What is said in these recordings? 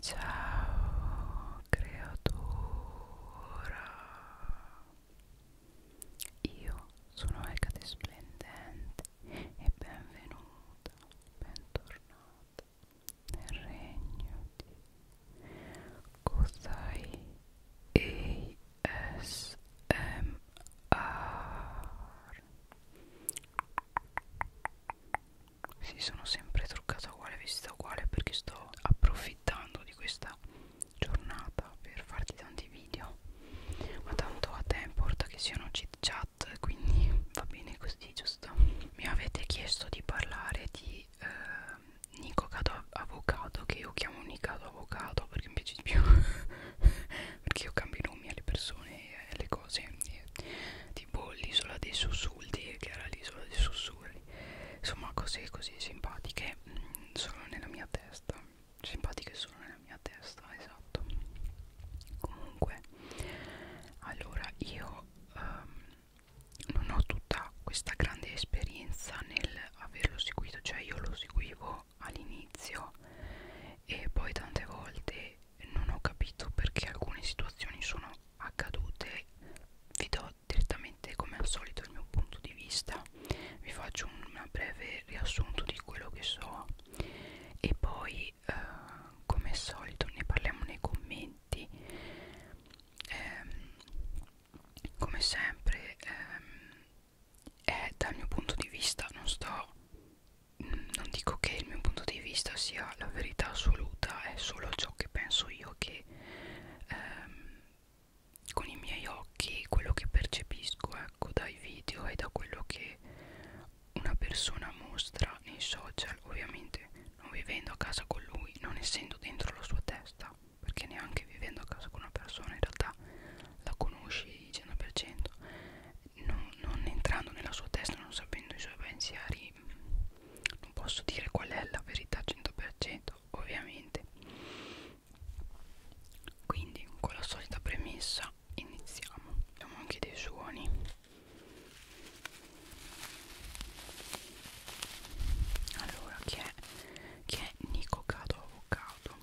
Ciao creatura Io sono Ecate Splendente e benvenuta, bentornata nel regno di Kosai ASMR sì, sono sempre truccata uguale, vestita uguale perché sto approfittando di questa giornata per farti tanti video. Ma tanto a te importa che siano chit chat, quindi va bene così, giusto? Mi avete chiesto di parlare di eh, Nico Cato Avocado, che io chiamo Nicato Avocado perché mi piace di più. perché io cambio i nomi alle persone e alle cose. E ti tipo l'isola dei sussulti che era l'isola dei sussurri insomma cose così simpatiche mh, mm, solo nella mia testa simpatiche solo nella mia testa esatto comunque allora io um, non ho tutta questa grande esperienza nel averlo seguito cioè io lo seguivo all'inizio e poi tante volte non ho capito perché alcune situazioni sono accadute vi do direttamente come al solito il mio punto di vista vi faccio un breve riassunto di quello che so e poi eh, come al solito ne parliamo nei commenti eh, come sempre eh, è dal mio punto di vista non sto mh, mm, non dico che il mio punto di vista sia la verità assoluta, è solo ciò che penso io che ehm, con i miei occhi, quello che percepisco ecco, dai video e da quello che una persona mostra nei social, ovviamente non vivendo a casa con lui, non essendo dentro la sua testa, perché neanche vivendo a casa con una persona in realtà la conosci 100%, non, non entrando nella sua testa, non sapendo i suoi pensieri, quindi non posso dire qual è la verità al 100% ovviamente quindi con la solita premessa iniziamo abbiamo anche dei suoni allora che è, chi è Nico Cado Avocado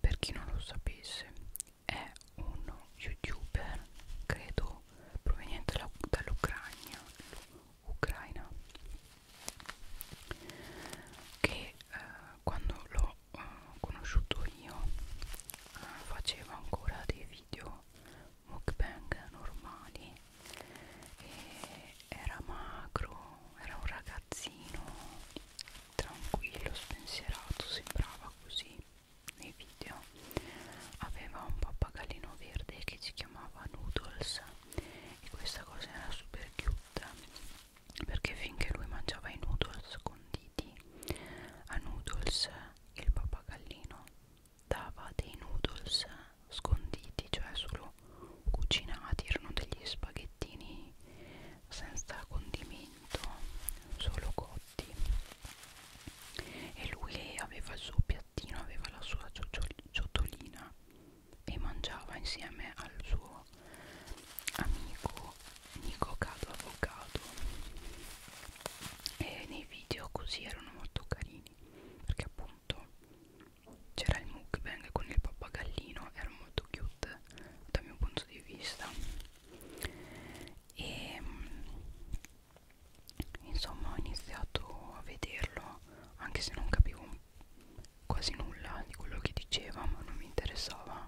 per chi non lo sapesse è uno youtuber credo proveniente dall'Ucraina Ucraina che eh, quando l'ho eh, conosciuto io eh, faceva ancora dei video mukbang normali e era magro era un ragazzino tranquillo spensierato sembrava così nei video aveva un pappagallino verde che si chiamava Noodles e questa cosa era super cute perché finché lui mangiava i noodles conditi a Noodles il pappagallino dava dei noodles sconditi cioè solo cucinati erano degli spaghettini senza condimento solo cotti e lui aveva il suo piattino, aveva la sua ciotolina e mangiava insieme al suo amico Nico Cado Avvocato e nei video così erano molto carini perché appunto c'era il mukbang con il pappagallino era molto cute dal mio punto di vista e insomma ho iniziato a vederlo anche se non capivo quasi nulla di quello che diceva ma non mi interessava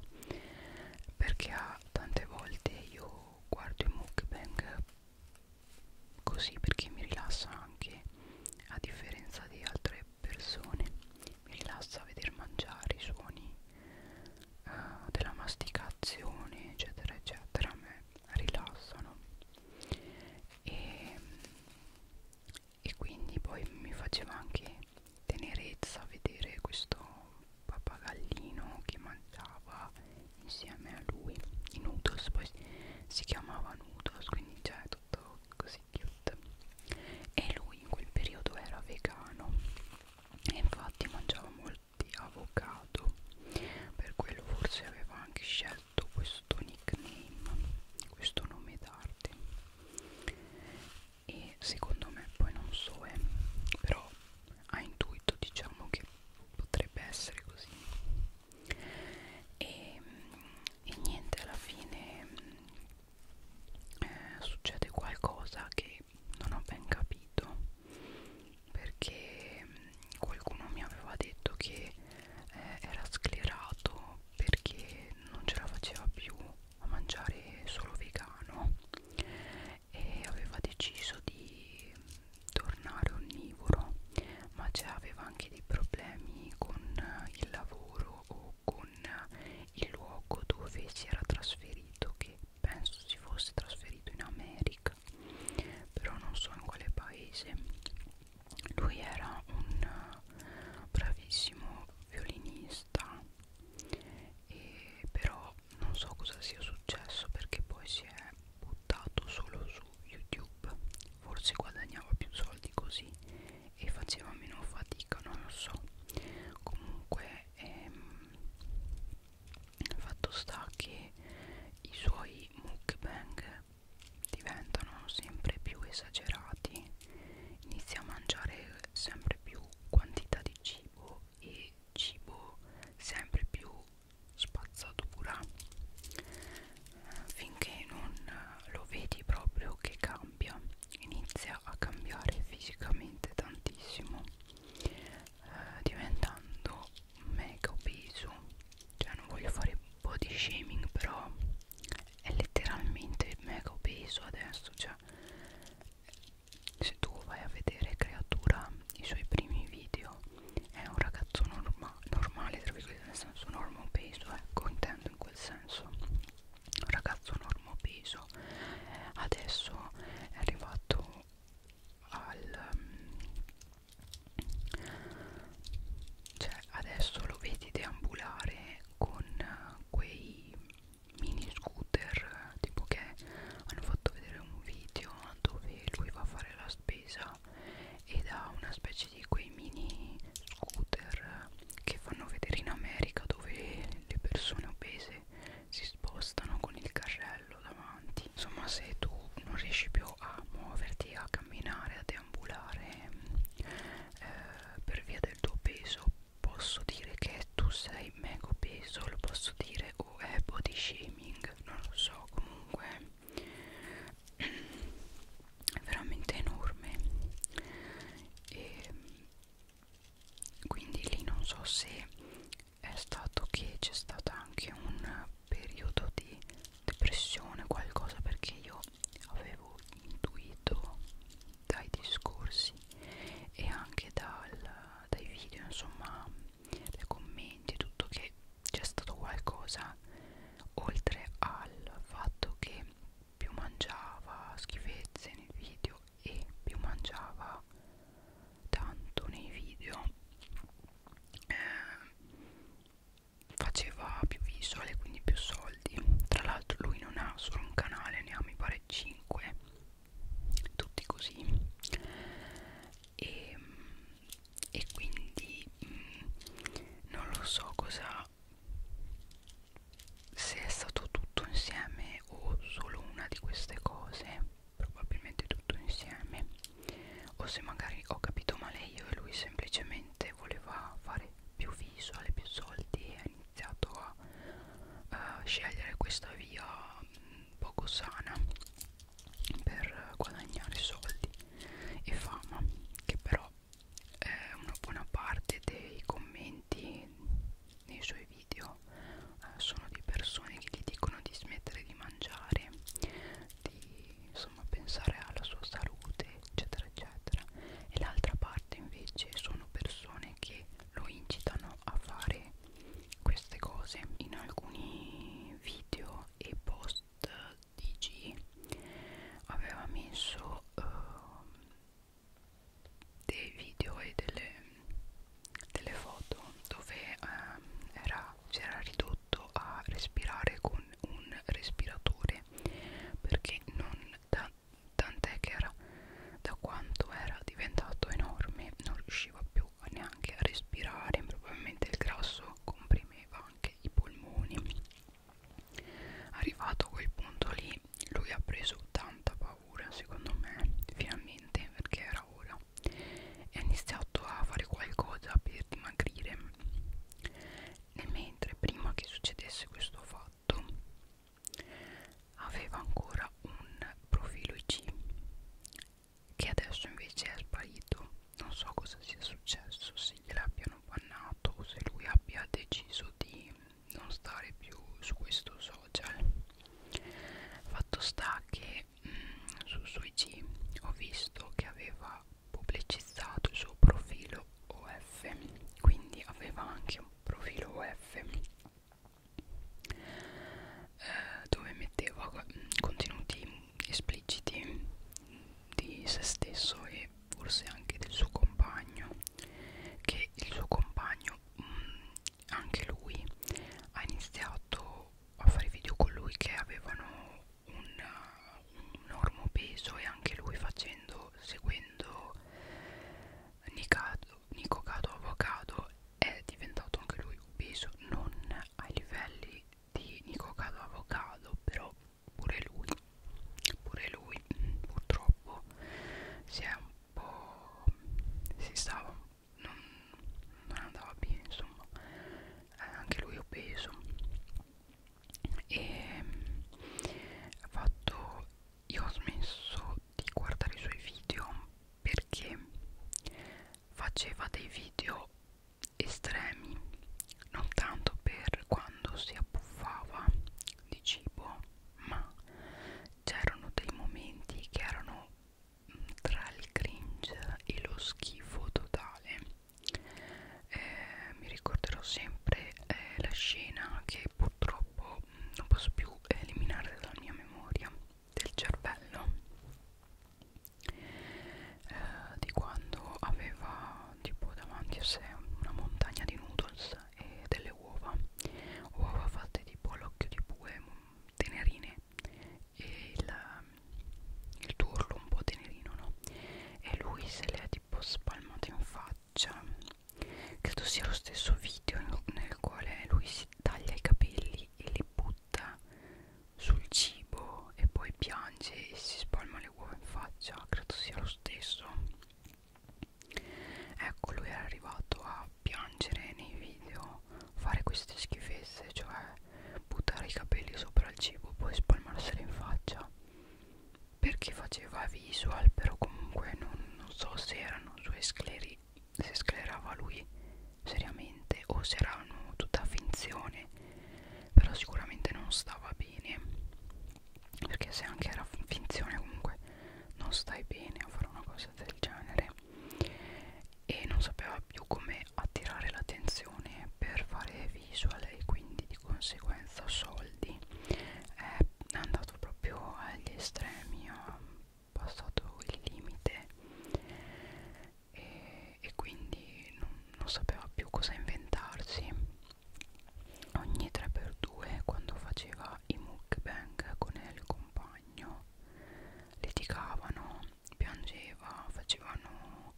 perché tante volte io guardo i mukbang così perché mi rilassa anche a differenza di altre persone mi rilassa a vedere mangiare i suoni uh, della masticazione eccetera eccetera a me rilassano e, e quindi poi mi faceva anche tenerezza vedere questo pappagallino che mangiava insieme a lui i noodles poi si chiamava noodles quindi c'è cioè tutto così cute e lui in quel periodo era vegano e infatti mangiava di avocado per quello forse aveva anche scelto questo nickname questo nome d'arte e secondo me poi non so eh, però a intuito diciamo che potrebbe essere così e, e niente alla fine eh, succede qualcosa che non ho ben capito perché qualcuno mi aveva detto che eh, era sclerato perché non ce la faceva più a mangiare solo vegano e aveva deciso di tornare onnivoro ma cioè aveva anche dei problemi con il lavoro o con il luogo dove si era trasferito che penso si fosse trasferito in America però non so in quale paese lui era un eh, bravissimo violinista e però non so cosa sia successo perché poi si è buttato solo su youtube forse guadagnava più soldi così e faceva meno fatica non lo so comunque ehm, fatto sta che i suoi mukbang diventano sempre più esagerati inizia a mangiare sempre più quantità di cibo e cibo sempre più spazzatura finché non lo vedi proprio che cambia inizia a cambiare fisicamente tantissimo eh, diventando mega obeso cioè non voglio fare body shaming però è letteralmente mega obeso adesso cioè se tu vai a vedere creatura i suoi primi video è un ragazzo norma normale tra virgolette nel senso normo peso ecco eh, intendo in quel senso un ragazzo normo peso adesso è arrivato al ehm, cioè adesso lo vedi deambulare con quei mini scooter tipo che hanno fatto vedere un video dove lui va a fare la spesa ed ha una specie di quei mini scooter che fanno vedere in America dove le persone obese si spostano con il carrello davanti insomma se tu non riesci più a muoverti a camminare a deambulare eh, per via del tuo peso posso dire che tu sei mega peso lo posso dire o è body shaming non lo so comunque è veramente enorme e quindi lì non so se è stato che c'è stato anche un periodo di depressione qualcosa perché io avevo intuito dai discorsi e anche dal, dai video insomma dai commenti tutto che c'è stato qualcosa oltre al fatto che più mangiava schifezze nei video e più mangiava tanto nei video eh, faceva più visual e quindi più soldi tra l'altro lui non ha solo un canale ne ha mi pare 5 tutti così e, ehm, e quindi mh, mm, non lo so cosa se è stato tutto insieme o solo una di queste cose probabilmente tutto insieme o se magari ho capito male io e lui semplicemente voleva fare più visual più soldi e ha iniziato a, a eh, scegliere questa via mm, poco sana per guadagnare soldi e fama che però è una buona parte dei commenti nei suoi video eh, sono di persone che gli dicono di smettere di mangiare, di insomma pensare alla sua salute, eccetera, eccetera. E l'altra parte invece sono persone che lo incitano a fare queste cose. In alcuni video e post DG aveva messo uh, dei video e delle delle foto dove ehm, si era ridotto a respirare con un respiratore perché non da, tant'è che era da quanto era diventato enorme non riusciva più neanche a respirare probabilmente il grasso comprimeva anche i polmoni arrivato a quel punto lì lui ha preso 80 paura secondo me finalmente perché era ora e ho iniziato a fare qualcosa per dimagrire e mentre prima che succedesse questo fatto aveva ancora un profilo IG che adesso invece è sparito non so cosa sia successo se gliel'abbiano bannato o se lui abbia deciso di non stare più su questo social fatto sta che mh, mm, su sui G ho visto che aveva pubblicizzato il suo profilo OF quindi aveva anche un profilo OF eh, dove metteva mh, mm, contenuti espliciti di se stesso e forse anche del suo compagno che il suo compagno mh, mm, anche lui ha iniziato a fare video con lui che avevano un, un enorme peso e anche lui facendo seguendo Nicado, Nico Cado Avocado è diventato anche lui obeso non ai livelli di Nico Cado Avocado però pure lui pure lui mm, purtroppo si è un po' si stava un non, non andava bene insomma eh, anche lui obeso e ha fatto io ho smesso di guardare i suoi video perché faceva dei video estremi non tanto per quando si abbuffava di cibo ma c'erano dei momenti che erano tra il cringe e lo schifo totale eh, mi ricorderò sempre eh, la scena che purtroppo non posso più eliminare dalla mia memoria del cervello eh, di quando aveva tipo davanti a sé una montagna di noodles e delle uova uova fatte tipo all'occhio di bue tenerine e il, um, il turlo un po' tenerino no? e lui se le ha tipo spalmate in faccia credo sia lo stesso video nel quale lui si taglia i capelli e li butta sul cibo e poi piange e si spalma le uova in faccia credo sia lo stesso ecco lui era arrivato a piangere nei video fare queste schifezze cioè buttare i capelli sopra il cibo poi spalmarseli in faccia perché faceva visual però comunque non, non so se erano sue scleri se sclerava lui seriamente o se erano tutta finzione però sicuramente non stava bene perché se anche era finzione comunque non stai bene a fare una cosa del genere e non sapeva più come attirare l'attenzione per fare visual e quindi di conseguenza soldi è andato proprio agli estremi ha passato il limite e, e quindi non, non sapeva più cosa inventarsi ogni 3x2 quando faceva i mukbang con il compagno litigavano, piangeva, facevano,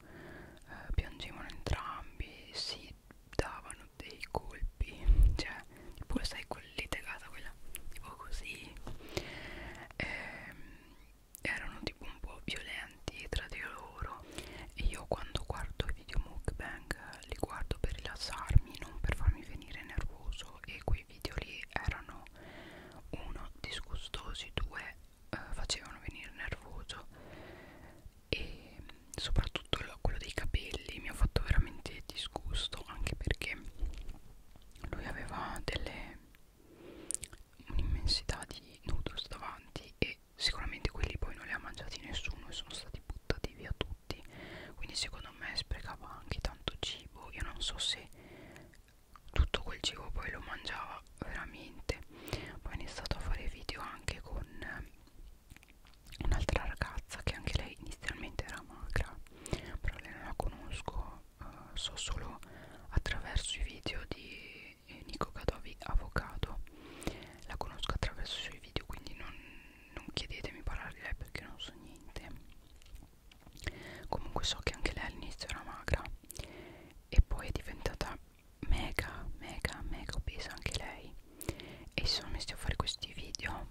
eh, piangevano entrambi, si davano dei colpi, cioè tipo sai quella litigata, quella tipo così, eh, erano tipo un po' violenti tra di loro e io quando guardo i video mukbang li guardo per rilassarmi, non per farmi venire nervoso e qui video lì erano uno disgustosi, due eh, facevano venire nervoso e soprattutto lo, quello dei capelli mi ha fatto veramente disgusto anche perché lui aveva delle un'immensità di noodles davanti e sicuramente quelli poi non li ha mangiati nessuno e sono stati buttati via tutti quindi secondo secondo me sprecava anche tanto cibo io non so se tutto quel cibo poi lo mangiava veramente poi ho iniziato a fare video anche con eh, un'altra ragazza che anche lei inizialmente era magra però lei non la conosco eh, so solo attraverso i video di Nico Cadovi Avocado la conosco attraverso i suoi video quindi non, non chiedetemi parlare di lei perché non so niente comunque so che anche lei all'inizio era magra e poi è diventata mega mega mega obesa anche lei e si sono messi a fare questi video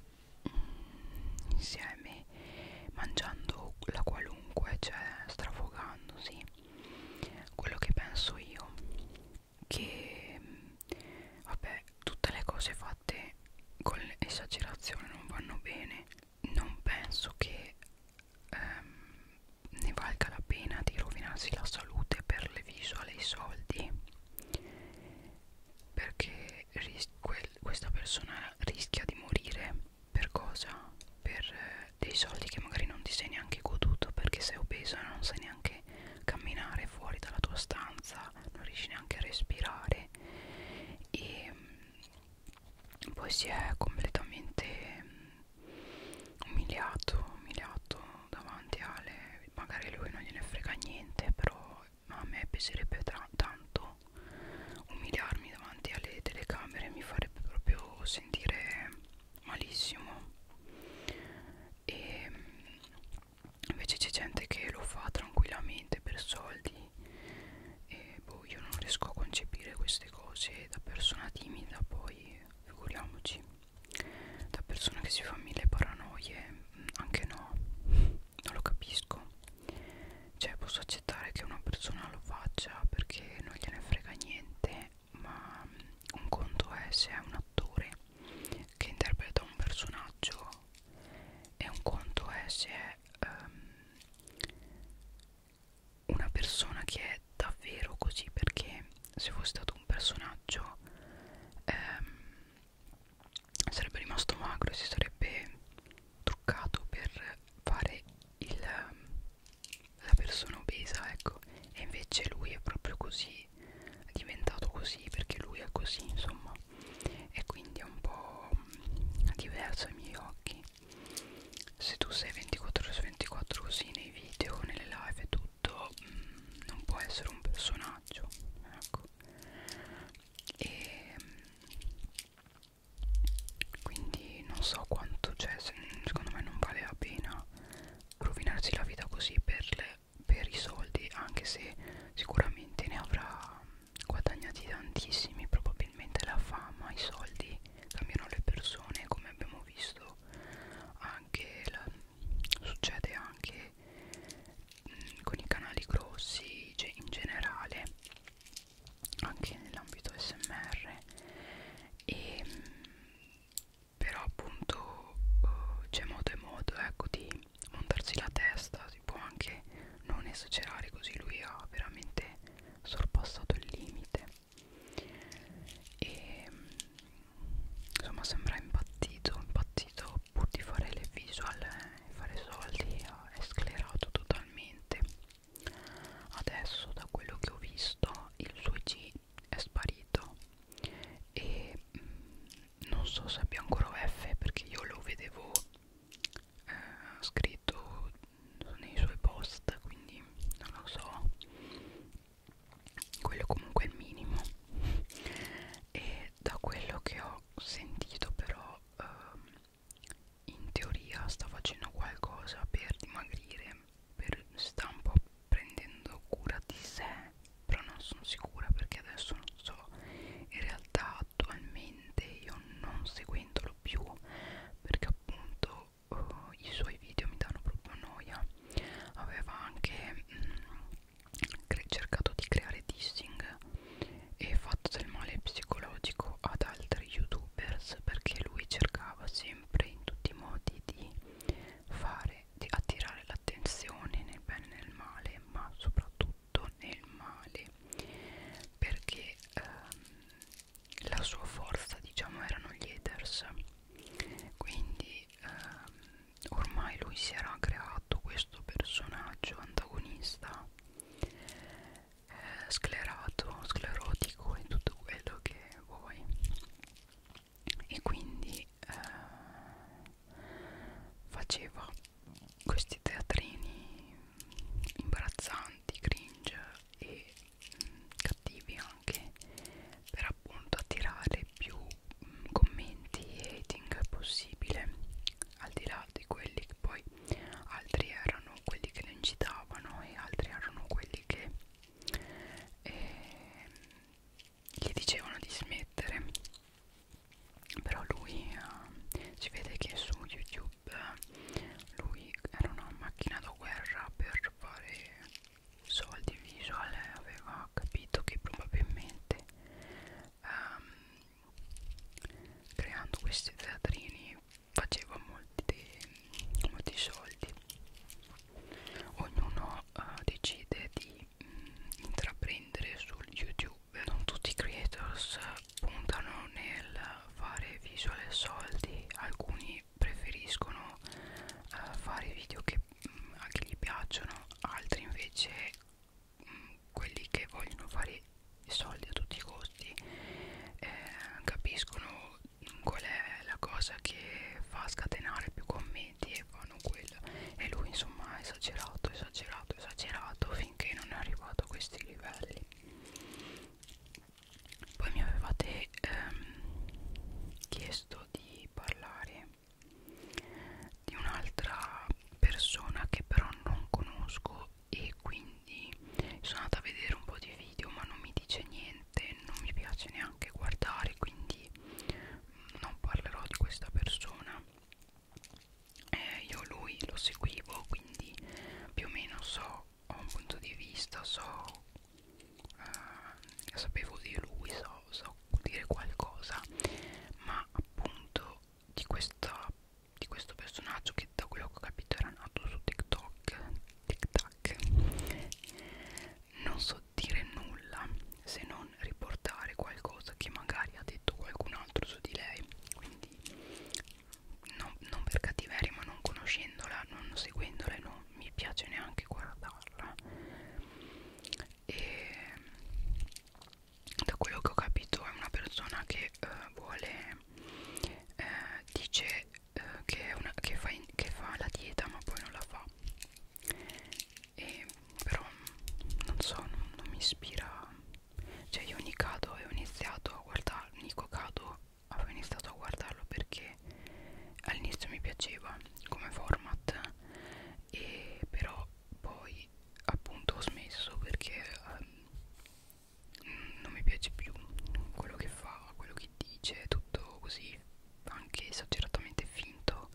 mm, insieme mangiando la qualunque cioè strafogandosi quello che penso io che mm, vabbè tutte le cose fatte con esagerazione non vanno bene non penso che ehm, ne valga la pena di rovinarsi la salute per le visual e i soldi perché questa persona rischia di morire per cosa? per eh, dei soldi che magari non ti sei neanche goduto perché sei obesa non sai neanche camminare fuori dalla tua stanza non riesci neanche a respirare male e mm, poi si è completamente mm, umiliato umiliato davanti a Ale magari lui non gliene frega niente però a me piacerebbe tanto umiliarmi davanti alle telecamere mi farebbe proprio sentire malissimo e mm, invece c'è gente che lo fa tranquillamente per soldi e boh io non riesco a concepire queste cose da persona timida poi figuriamoci da persona che si fa mille paranoie mm, anche no non lo capisco cioè posso accettare che una persona lo faccia perché non gliene frega niente ma mm, un conto è se è un attore che interpreta un personaggio e un conto è se è um, ehm, una persona che è davvero così perché se fosse stato un personaggio um, sarebbe rimasto magro e si sarebbe truccato per fare il, la persona obesa ecco e invece lui è proprio così è diventato così perché lui è così insomma e quindi è un po' diverso ai miei occhi se tu sei 24 ore su 24 così nei video, nelle live e tutto mh, mm, non può essere un personaggio ecco e ehm, quindi non so quanto, cioè secondo me non vale la pena rovinarsi la vita così per le per i soldi anche se sicuramente ne avrà guadagnati tantissimi probabilmente la fama i soldi cambiano le persone come abbiamo visto anche la, succede anche mh, mm, con i canali grossi in generale anche nell'ambito smr e mh, mm, però appunto uh, c'è modo e modo ecco di montarci la testa si può anche non esagerare così lui ha veramente sorpassato il limite e insomma sembra impazzito impazzito pur di fare le visual e fare soldi è sclerato totalmente adesso da quello che ho visto il suo G è sparito e mh, mm, non so se abbia ancora OF perché io lo vedevo eh, scritto nei suoi post quindi non lo so quello comunque è il minimo e da quello che ho sentito però ehm, in teoria sta facendo qualcosa per dimagrire per, sta un po' prendendo cura di sé però non sono sicura perché adesso non so in realtà attualmente io non seguendolo più perché appunto uh, i suoi video mi danno proprio noia aveva anche mh, mm, cercato di creare dissing e fatto del male psicologico ad altri youtubers perché lui cercava sempre in tutti i modi di fare di attirare l'attenzione nel bene e nel male ma soprattutto indotto nel male perché ehm, la sua forza diciamo erano gli haters quindi ehm, ormai lui si era creato questo personaggio antagonista eh, sclerato, sclerotico e tutto quello che vuoi e quindi eh, faceva questi teatrini imbarazzanti, cringe e mh, mm, cattivi anche per appunto attirare più mh, mm, commenti e hating possibile al di là di quelli che poi altri erano quelli che lo incitavano e altri erano quelli che eh, gli dicevano di smettere però lui eh, si vede che su youtube eh, lui era una macchina da guerra per fare soldi visual e aveva capito che probabilmente ehm, creando questi teatrini faceva molti, molti soldi ognuno eh, decide di intraprendere sul youtube non tutti i creators puntano nel fare visual e soldi alcuni preferiscono uh, fare video che mh, mm, anche gli piacciono altri invece mh, mm, quelli che vogliono fare soldi a tutti i costi eh, capiscono mm, qual è la cosa che fa scatenare più commenti commenti e fanno quello e lui insomma ha esagerato esagerato esagerato finché non è arrivato a questi livelli poi mi avevate ehm, chiesto di parlare di un'altra persona che però non conosco e quindi sono andata a vedere un po' di video ma non mi dice niente non mi piace neanche guardare quindi non parlerò di questa persona eh, io lui lo seguivo quindi più o meno so ho un punto di vista so eh, sapevo di lui so, so dire qualcosa ma appunto di questa di questo personaggio che da quello che ho capito era nato su TikTok, TikTok non so dire nulla se non riportare qualcosa che magari ha detto qualcun altro su di lei quindi no, non per cattiveria ma non conoscendola non seguendola e non mi piace neanche guardarla e da quello che ho capito è una persona che eh, vuole eh, dice eh, che, è una, che, fa in, che fa la dieta ma poi non la fa e però non so non, non mi ispira cioè io Nikado avevo iniziato a guardarlo Nico Kado avevo iniziato a guardarlo perché all'inizio mi piaceva come format e però poi appunto ho smesso perché um, non mi piace più quello che fa quello che dice tutto così anche esageratamente finto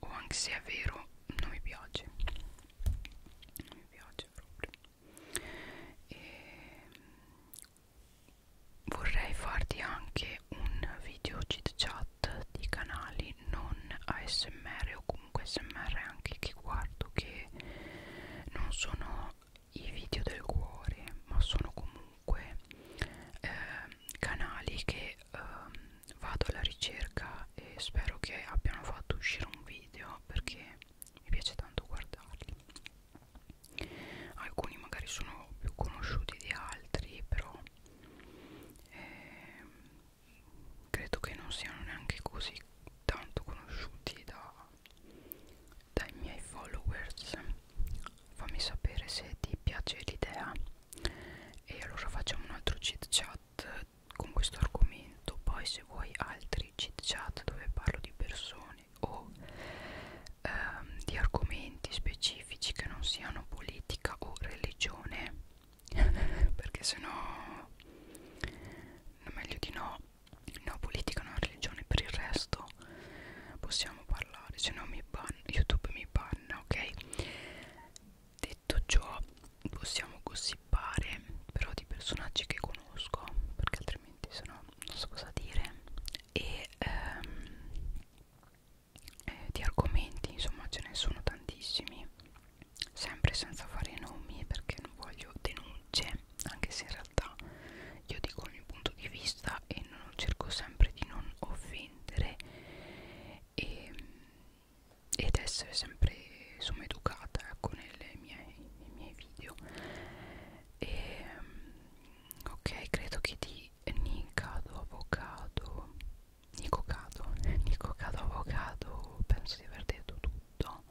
o anche se è vero non mi piace non mi piace proprio e mm, vorrei farti anche un video chit chat di canali non ASMR o comunque SMR anche che guardo che non sono i video del cuore ma sono comunque eh, canali che eh, vado alla ricerca e spero che abbiano fatto uscire un video perché mi piace tanto guardarli alcuni magari sono più conosciuti di altri però eh, credo che non siano neanche così tanto conosciuti da, dai miei followers fammi sapere se ti piace l'idea e allora facciamo un altro chit chat con questo argomento poi se vuoi altri chit chat dove parlo di persone o ehm, di argomenti specifici che non siano politica o religione perché sennò meglio di no no politica no religione per il resto possiamo parlare se no mi banna youtube mi banna ok detto ciò possiamo gossipare però di personaggi che conosco perché altrimenti sennò non so cosa dire e ehm, eh, di argomenti insomma ce ne sono tantissimi sempre senza fare nomi perché non voglio denunce anche se in realtà io dico il mio punto di vista e non cerco sempre di non offendere e ehm, ed essere sempre insomma educata ecco nelle mie, nei miei video e, ehm, ok credo che di Nicado avocado Nicocado Nicocado avocado penso di aver detto tutto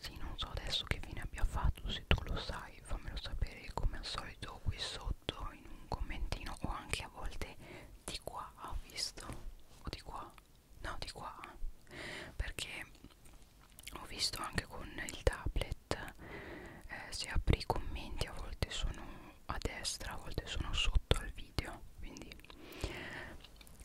sì non so adesso che fine abbia fatto se tu lo sai fammelo sapere come al solito qui sotto in un commentino o anche a volte di qua ho visto o di qua no di qua perché ho visto anche con il tablet eh, se apri i commenti a volte sono a destra a volte sono sotto al video quindi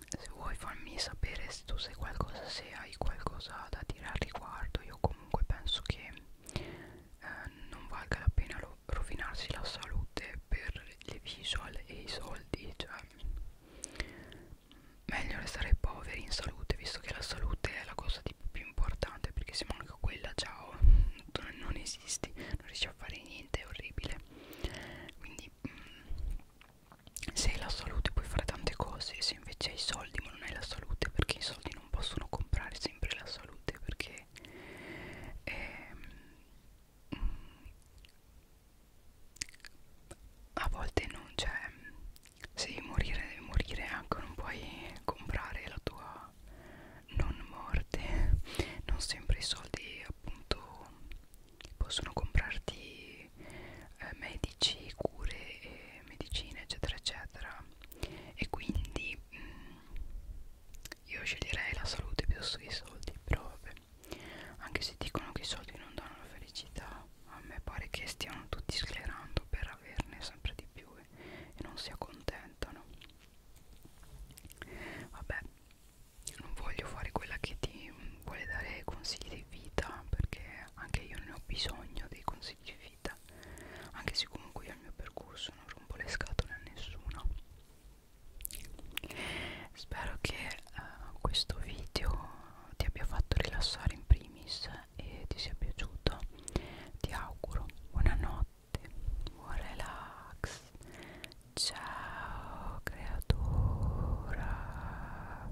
se vuoi farmi sapere se tu sei qualcosa se hai qualcosa da dire al riguardo io comunque penso che eh, non valga la pena lo rovinarsi la salute per le visual e i soldi cioè meglio restare poveri in salute visto che la salute è la cosa tipo più importante perché se manca quella ciao non esisti non riesci a fare niente è orribile quindi mm, se hai la salute puoi fare tante cose se invece hai i soldi ma non hai la salute perché i soldi non possono comprare sempre la salute perché ehm, a volte non c'è se devi morire devi morire ecco non puoi comprare la tua non morte non sempre i soldi appunto possono comprarti eh, medici cure e eh, medicine eccetera eccetera e quindi mh, mm, io sceglierei la salute piuttosto che i soldi, però vabbè. Anche se dicono che i soldi non danno la felicità, a me pare che stiano tutti sclerando per averne sempre di più e, eh, e non si accontentano. Vabbè, non voglio fare quella che ti vuole dare consigli di vita, perché anche io ne ho bisogno dei consigli di vita, anche se comunque io il mio percorso non rompo le scatole a nessuno spero che eh, questo video ti abbia fatto rilassare in primis e ti sia piaciuto ti auguro buonanotte buon relax ciao creatura